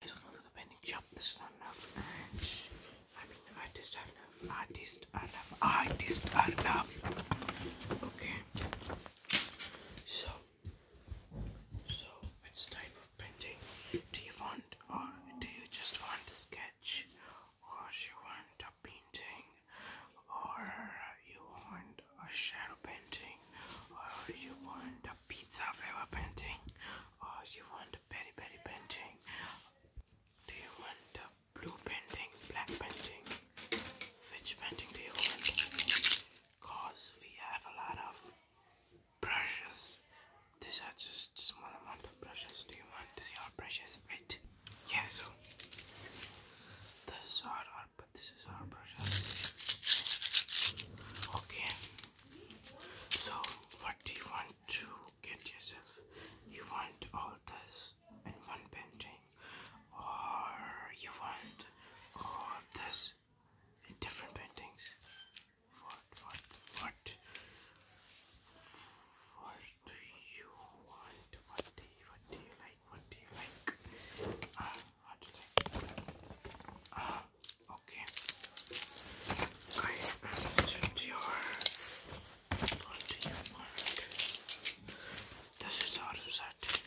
guys, welcome to the painting shop. This is Arnav and I'm an artist Arnav. Artist Arnav. Artist Arnav. Okay. So, so which type of painting do you want or do you just want a sketch or you want a painting or you want a shadow painting or you want a pizza flavor painting Oh, you want berry berry painting? Do you want blue painting, black painting? Which painting do you want? Cause we have a lot of brushes. These are just small amount of brushes. Do you want your brushes? Right? Yeah. So this is our, but this is our brushes. Okay. So, what do you want to get yourself? You want all this in one painting, or you want all this in different paintings? What, what, what? What do you want? What do you, what do you like? What do you like? Uh, what do you like? Uh, okay. I understood your continue mark. This is our set.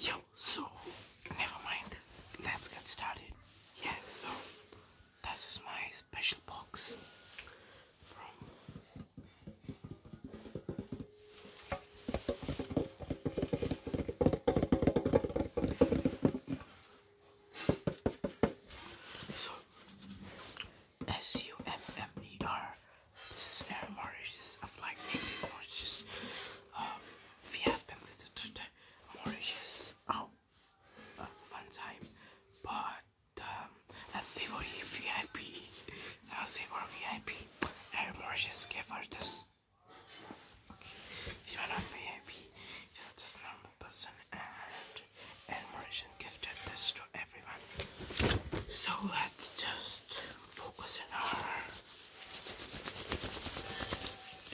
Yo, so never mind. Let's get started. Yeah, so this is my special box so S-U-M-M-E-R. This is air Mauritius. I've like Mauritius. Um, we have been visited Mauritius oh, uh, time, but as we VIP, as VIP, air Mauritius gave us this. Okay, if you not VIP, it's just normal person and admiration gifted this to everyone. So let's just focus on our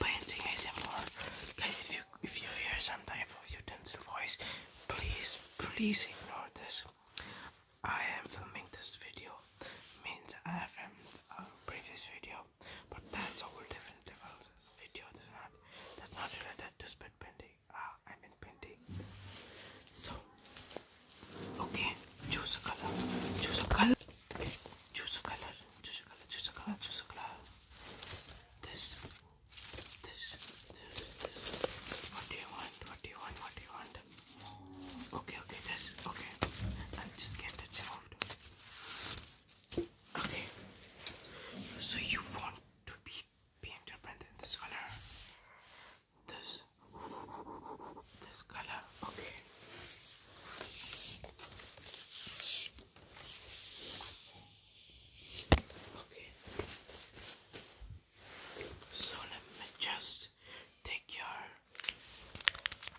painting ASMR. Guys, if you if you hear some type of utensil voice, please please ignore this. I am filming this video means I have filmed a previous video, but that's a different level video this one that's not related to spit painting. Ah, I mean painting. So, okay, choose a color. Choose a color. Choose a color. Choose a color. Choose a color. Choose a color. This. This. This. This. What do you want? What do you want? What do you want? Okay, okay, this. Okay. I'll just get it Okay. So you want to be painted in this color. This this color. Okay. Okay. So let me just take your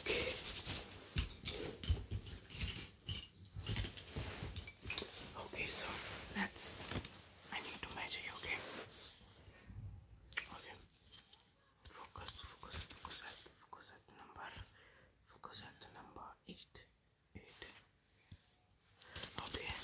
Okay. Okay, so let's. I need to measure okay? Okay. Focus, focus, focus focus number, focus number eight, eight. Okay.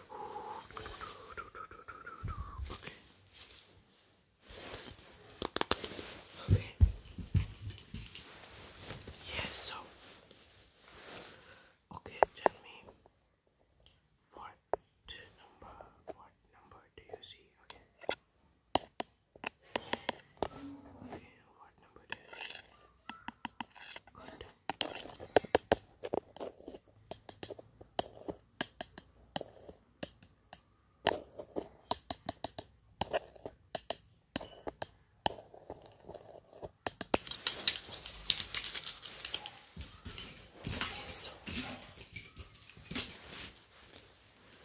Okay. Yes, so. Okay, tell me. What number? What number do you see? Okay. Okay, what number do Good. So,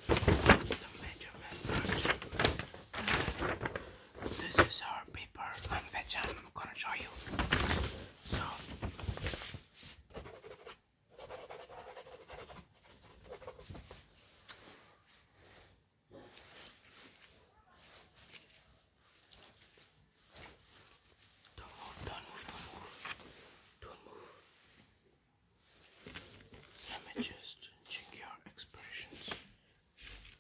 the measurements are cheap. This is our big paper on which I'm gonna show you. So don't move, don't move, don't move, don't move. Let me just check your expressions.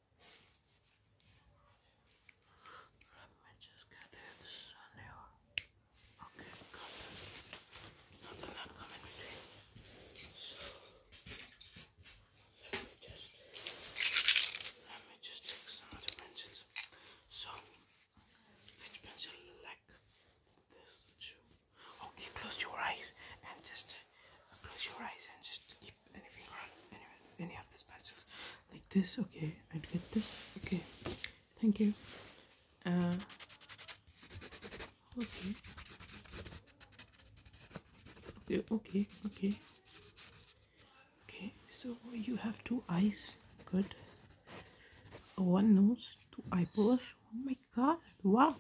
Let me just get This is a Okay, got it. Nothing that between. So let me just let me just take some other pencils. So which pencil like this too? Okay, close your eyes and just close your eyes and just keep anything any, any of the specials like this. Okay, I'd get this. Okay, thank you. Uh, Okay, okay, okay. Okay, so you have two eyes. Good. One nose, two eyeballs. Oh my god, wow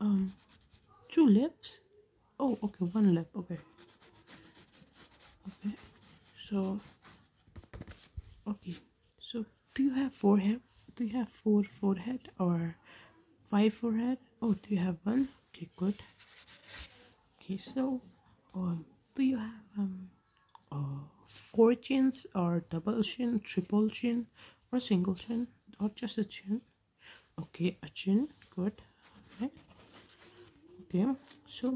um two lips oh okay one lip okay okay so okay so do you have forehead do you have four forehead or five forehead oh do you have one okay good okay so um do you have um uh, four chins or double chin triple chin or single chin or just a chin okay Achin good okay okay so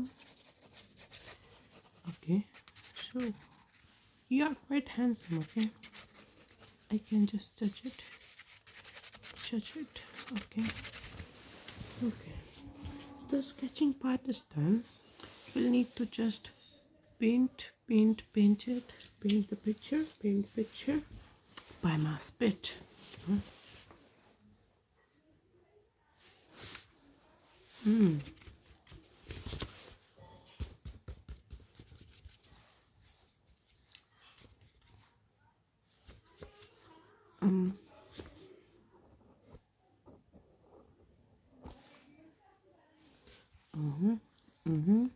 okay so you are quite handsome okay I can just touch it touch it okay okay the sketching part is done we'll need to just paint paint paint it paint the picture paint picture by my spit. Mm. Mm. Mm. Mm-hmm. mm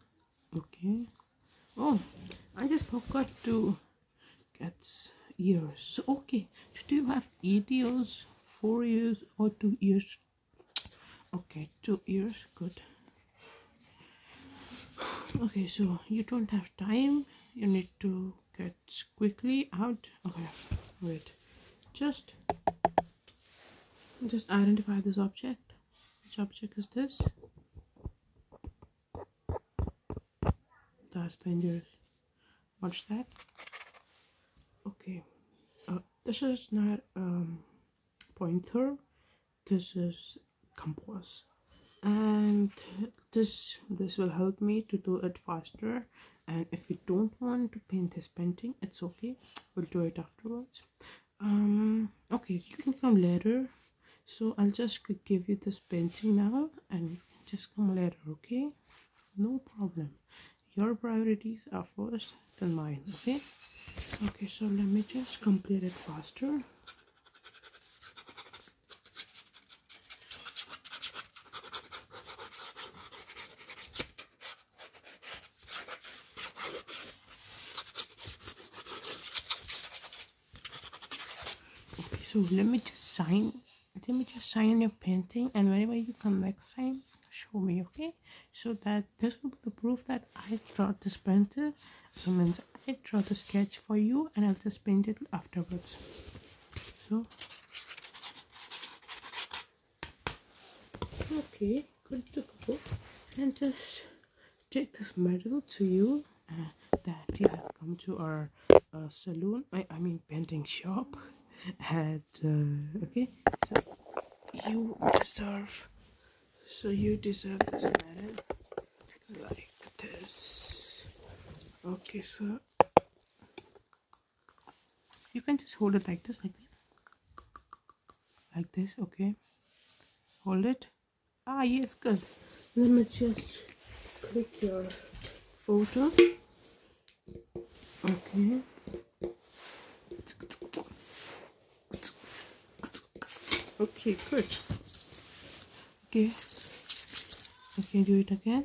okay oh I just forgot to get ears okay today we have eight ears four ears or two ears okay two ears good okay so you don't have time you need to get quickly out okay wait just just identify this object which object is this that's dangerous. Watch that? Okay. Uh, this is not um, pointer. This is compass. And this this will help me to do it faster. And if you don't want to paint this painting, it's okay. We'll do it afterwards um okay you can come later so i'll just give you this painting now and just come later okay no problem your priorities are first than mine okay okay so let me just complete it faster okay so let me just sign let me just sign your painting and whenever you come next time, show me okay so that this will be the proof that i draw this painting. so means i draw the sketch for you and i'll just paint it afterwards so okay put the bowl and just take this medal to you uh, that you have come to our uh, saloon I, mean painting shop and uh, okay so you deserve so you deserve this medal like this okay so you can just hold it like this like this like this okay hold it ah yes good let me just click your photo okay okay good okay okay do it again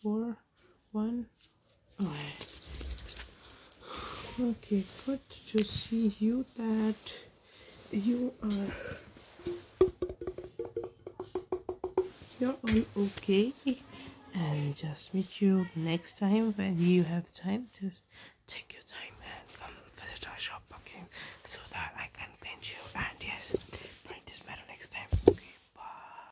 four, one. Alright. Okay, good to see you that you are you're all okay and just meet you next time when you have time just take your time and come visit our shop okay so that I can pinch you and yes bring this metal next time okay